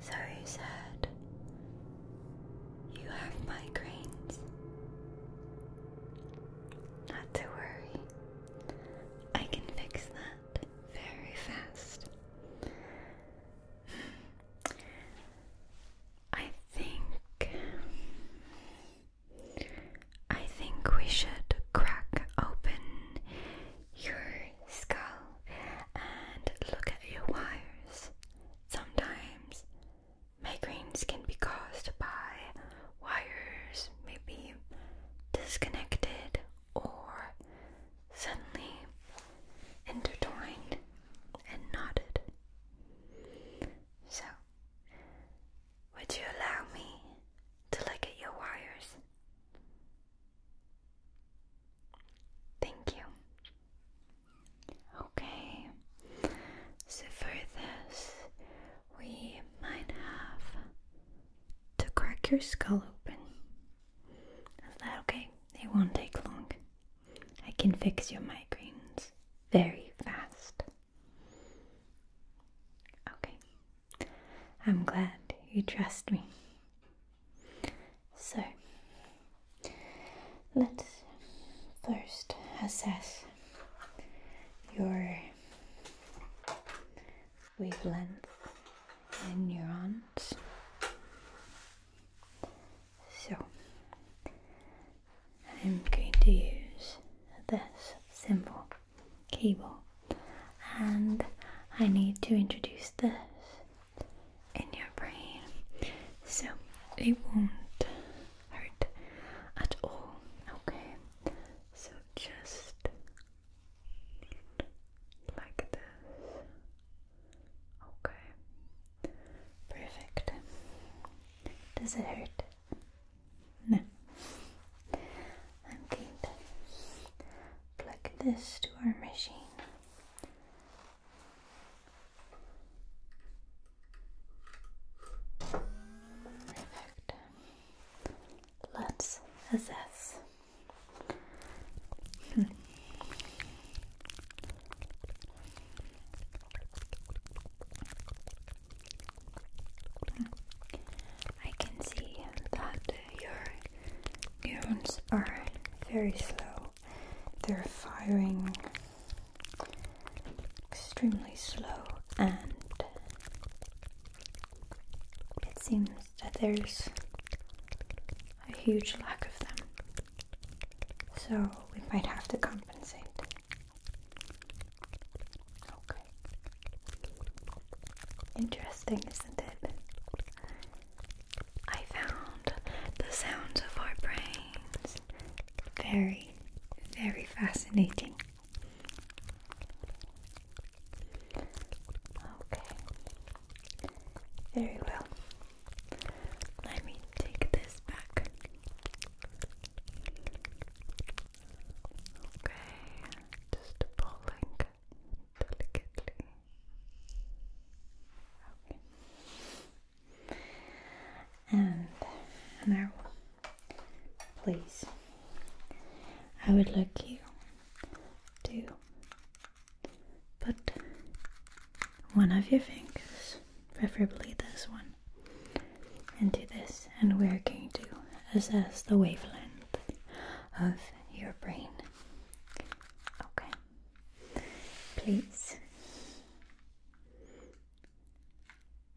Sorry, he said, You have migraines. Not to worry, I can fix that very fast. I think. I think we should crack open your skull and look at your wires. Sometimes migraines can be caused by wires, maybe disconnected or suddenly intertwined and knotted. So, would you allow me to look at your wires? Thank you. Okay, so for this, we might have to crack your skull open. okay? It won't take long. I can fix your migraines very fast. Okay. I'm glad you trust me. So, let's first assess your wavelength and neurons. So, I'm going to use this symbol cable and I need to introduce this in your brain so it won't hurt at all okay so just like this okay perfect does it hurt now, I'm going to plug this to our machine. Perfect. Let's assess. I can see that your neurons are very slow. They're firing extremely slow, and it seems that there's a huge lack of them. So we might have to compensate. Okay. Interesting, isn't it? I found the sounds of our brains very, very fascinating. Okay. Very well. Let me take this back. Okay, just pulling delicately. Okay. And now, please, I would like you to put one of your fingers, preferably this one, into this and we're going to assess the wavelength of your brain. Okay. Please.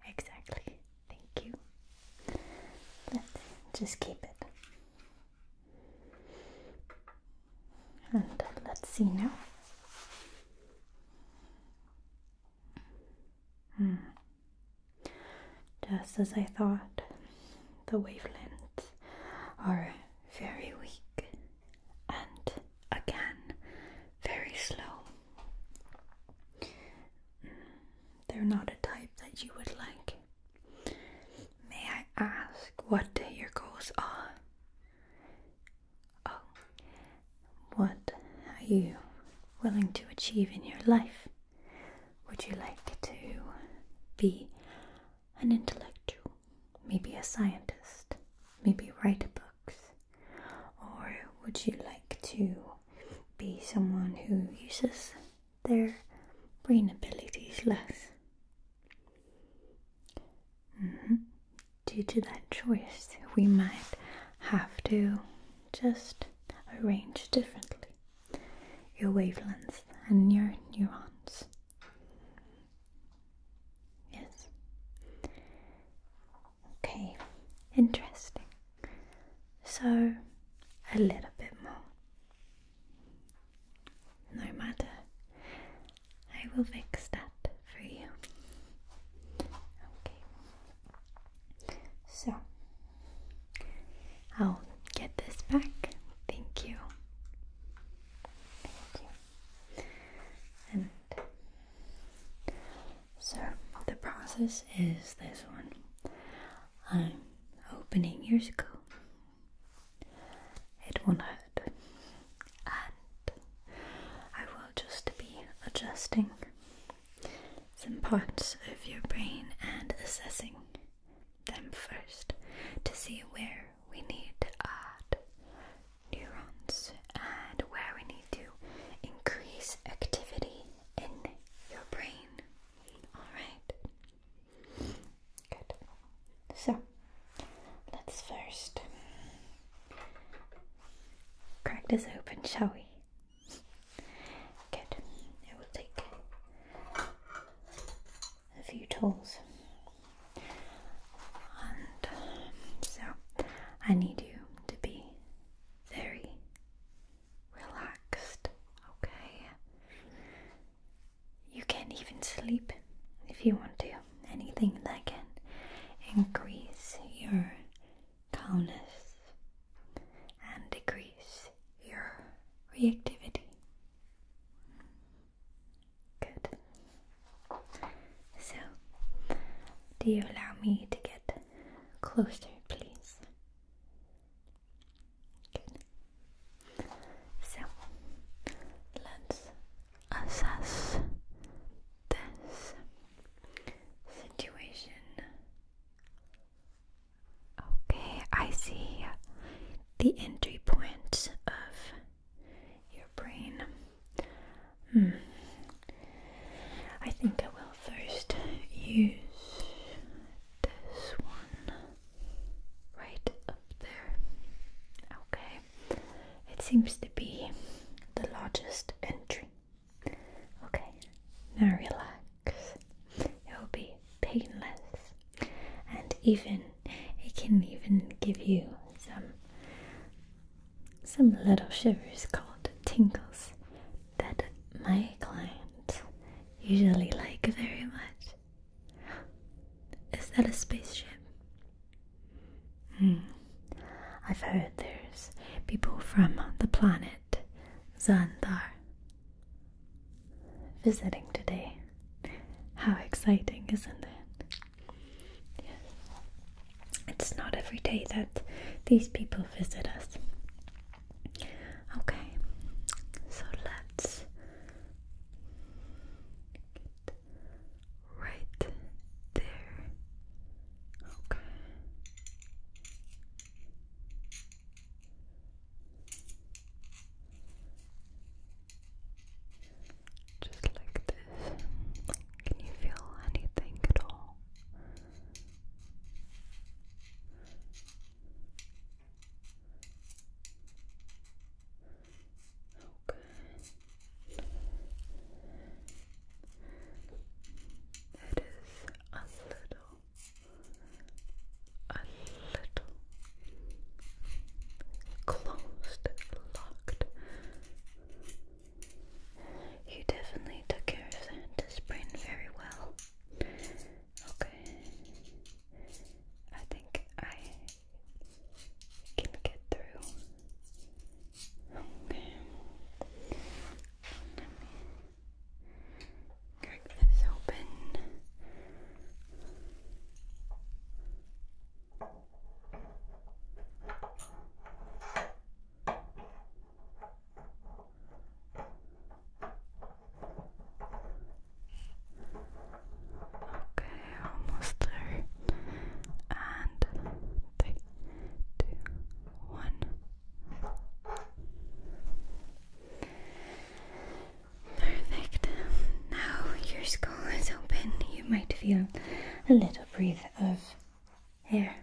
Exactly. Thank you. Let's just keep it. And let's see now. Mm. Just as I thought, the wavelengths are very weak and again very slow. Mm, they're not a type that you would like. May I ask what your goals are? Oh, what are you willing to achieve in your life? Would you like to be an intellectual? Maybe a scientist? Maybe write books? Or would you like to be someone who uses their brain abilities less? Mm-hmm. Due to that choice, we might have to just arrange differently your wavelengths and your neurons. Yes. Okay, interesting. So, a little bit more. No matter. I will fix that for you. Okay. So I'll get this back. Thank you. And so the process is this one. I'm opening your skull. It won't hurt. And I will just be adjusting some parts of your brain and assessing them first to see where we need to add neurons and where we need to increase activity in your brain. Alright? Good. So, let's first crack this open, shall we? Good. It will take a few tools. And so I need you to be very relaxed, okay? You can even sleep if you want to. Anything that can increase your calmness and decrease your reactivity. Good. So, do you allow me to get closer, please? Good. So, let's assess this situation Okay, I see the entry point of your brain. Hmm. I think I will first use this one right up there. Okay, it seems to be the largest entry. Okay, now relax. It will be painless, and even it can even give you some some little shivers called tingles that my clients usually like very much. Is that a spaceship? Hmm. I've heard there's people from the planet Xandar visiting today. How exciting, isn't it? Yes. It's not every day that these people visit us. Okay, so let's right there. Okay. Just like this. Can you feel anything at all? Okay. It is a little, a little closed, locked. You definitely took care of Santa's brain very well. Okay. I think I can get through Okay. Let me crack this open. Okay, almost there. And two, one. Perfect. Now your skull is open. You might feel a little breath of air.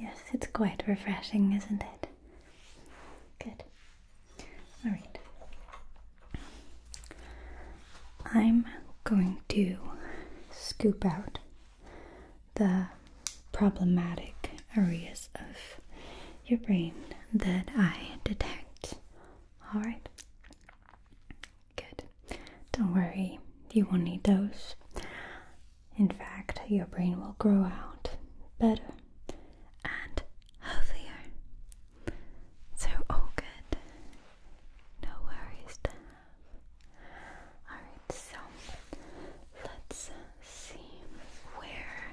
Yes, it's quite refreshing, isn't it? Good. Alright. I'm going to scoop out the problematic areas of your brain that I detect. Alright? Good. Don't worry, you won't need those. In fact, your brain will grow out better and healthier. So, all good no worries Alright, so let's uh, see where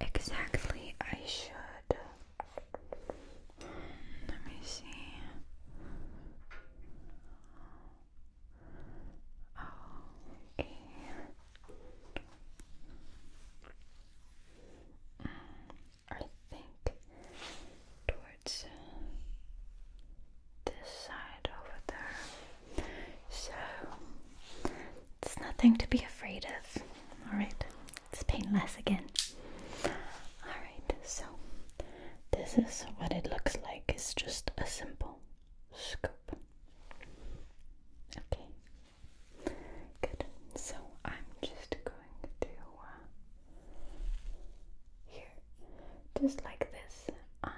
exactly I should. Let me see. Oh, yeah. Mm. I think towards uh, this side over there. So it's nothing to be afraid of. Alright, it's painless again. Alright, so this is what it looks like. It's just a simple scoop. Okay, good. So I'm just going uh, here, just like this, and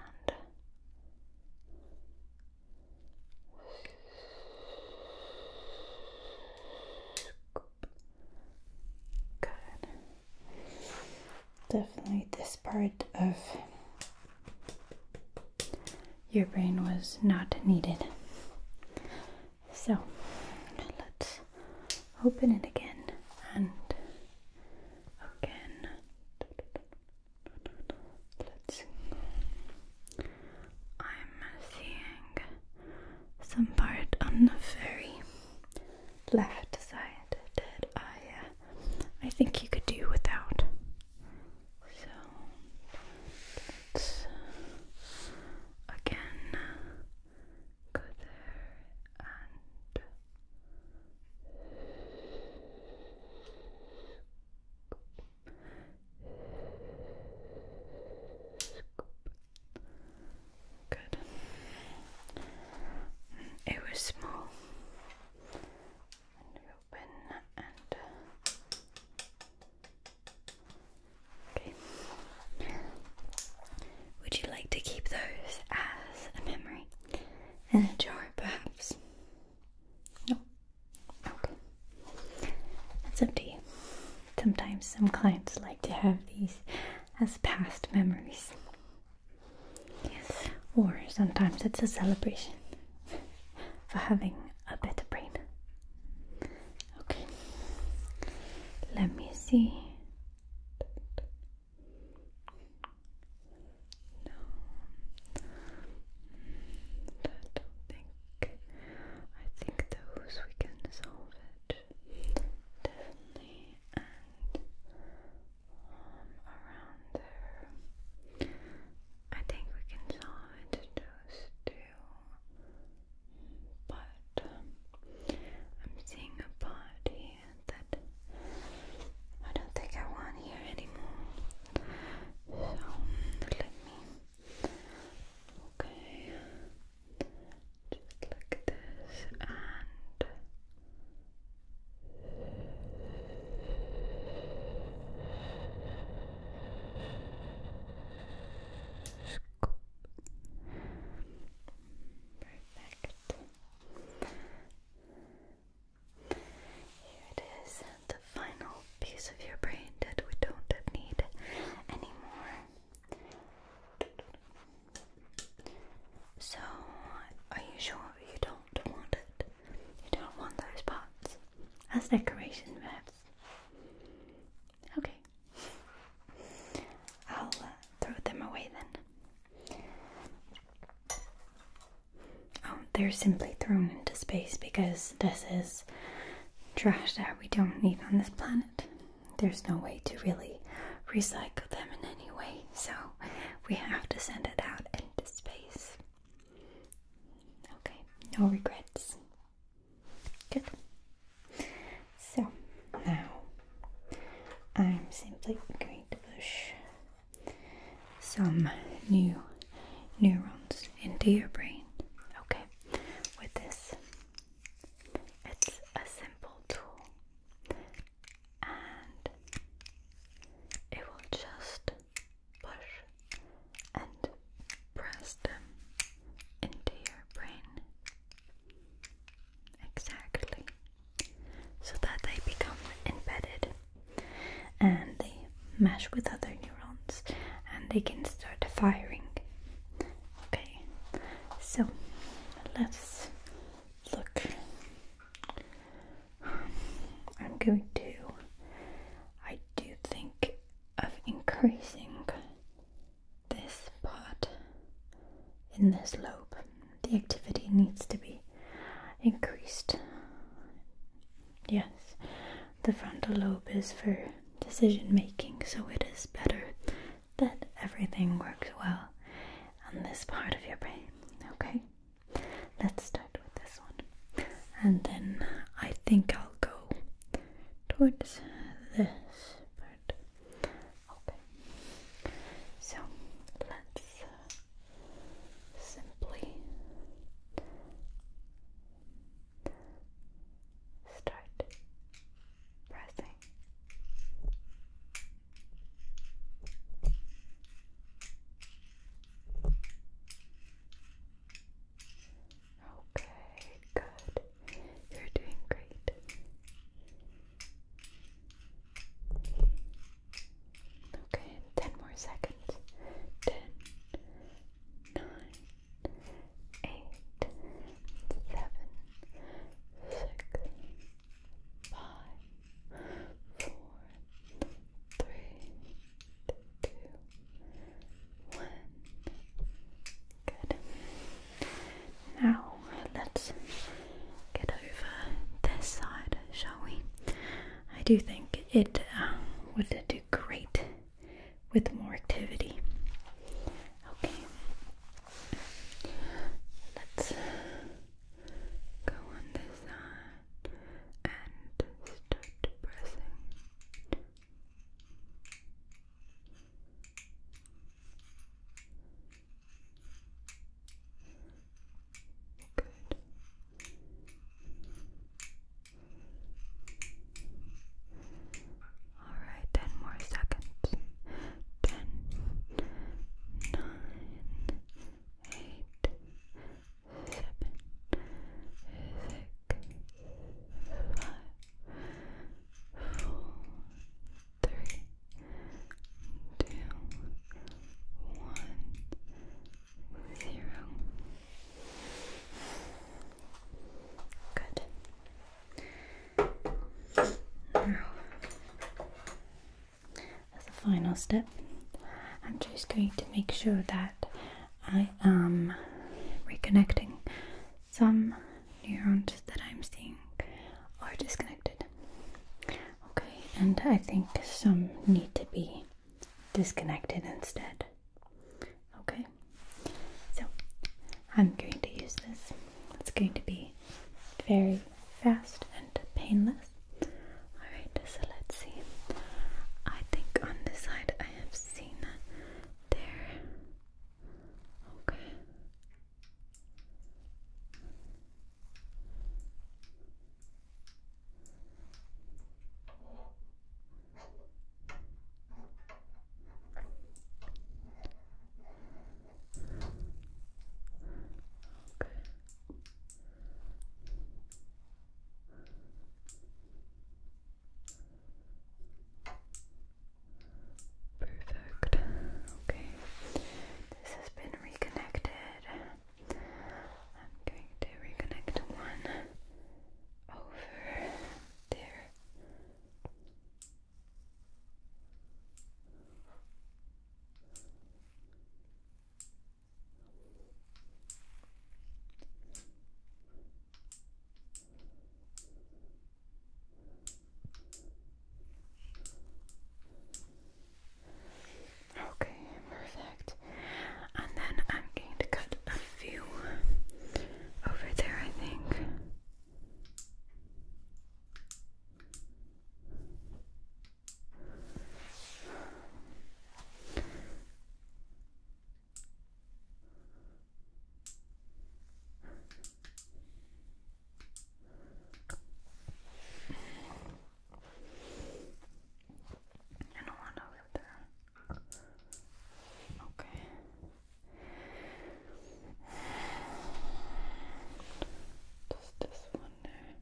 good. Definitely, this part of your brain was not needed. So let's open it again and again. I'm seeing some part on the very left side that I uh, I think you could do without. So let's uh, again Good there and Good. Mm, it was small. And open and would you like to keep those as a memory? In a jar, perhaps? No? Okay. It's empty. Sometimes some clients like to have these as past memories. Yes. Or sometimes it's a celebration for having a better brain. Okay, let me see. No, I don't think. I think those we can solve it definitely, and um, around there, I think we can solve it. Those two but um, I'm seeing a part here that I don't think I want here anymore. So let me. Okay, just like this and scoop. Perfect. Here it is, the final piece of your brain that we don't need anymore. So, are you sure you don't want it? You don't want those parts as decoration perhaps? Okay, I'll uh, throw them away then. Oh, they're simply thrown into space because this is trash that we don't need on this planet. There's no way to really recycle them in any way, so we have to send it out into space. Okay, no regrets. Good. So now I'm simply going to push some new neurons into your brain. Okay, with this, it's a simple tool and it will just push and press into your brain exactly so that they become embedded and they mesh with other neurons and they can start firing. Okay, so let's look. I'm going to, I do think of increasing this part in this lobe, the activity needs to be increased. Yes, the frontal lobe is for decision making, so it is better that everything works well on this part of your brain. Okay, let's start with this one, and then I think I'll go towards this part. Okay, so let's simply start pressing. Okay, good. You're doing great. Okay, ten more seconds. Ten, nine, eight, seven, six, five, four, three, two, Good. Now let's get over this side, shall we? I do think it uh, would do great with more activity. Okay. Let's go on this side and start pressing. Good. All right, ten more seconds. Ten, nine, eight, seven, six, five, four, three, two, one, zero. Good. Now, as a final step, I'm just going to make sure that I am reconnecting some neurons that I'm seeing are disconnected. Okay, and I think some need to be disconnected instead. Okay, so I'm going to use this. It's going to be very fast and painless. Alright, so let's see. I think on this side I have seen there. Okay. Okay. Perfect. Okay. This has been reconnected. I'm going to reconnect one over there. Okay, perfect. And then I'm going to cut a few over there, I think. I don't want to live there. Okay. Just this one there.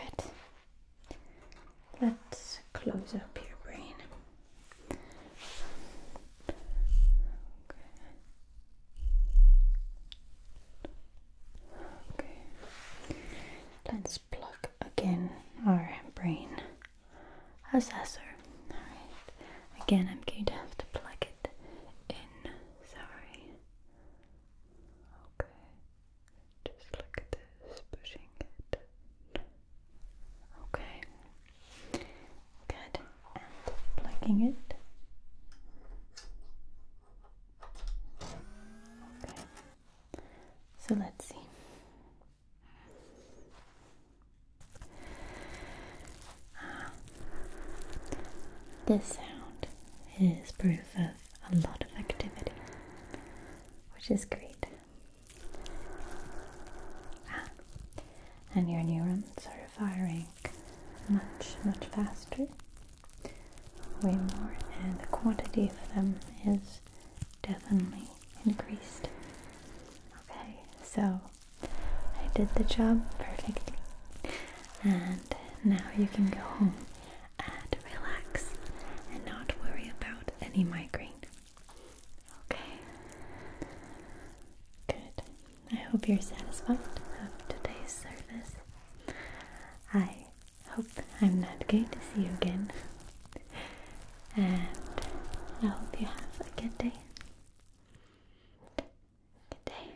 Good. Let's close up your brain. Okay. Let's plug again our brain assessor. Alright. Again, I'm going to have to plug it in. Sorry. Okay. Just like this, pushing it. Okay. Good. And plugging it. Okay. So let's see. Ah. This sound is proof of a lot of activity, which is great. Ah, and your neurons are firing much, much faster, way more, and the quantity of them is definitely increased. Okay, so I did the job perfectly, and now you can go home and relax and not worry about any migraine. Okay? Good. I hope you're satisfied with today's service. I hope I'm not going to see you again. And I hope you have a good day. Good day.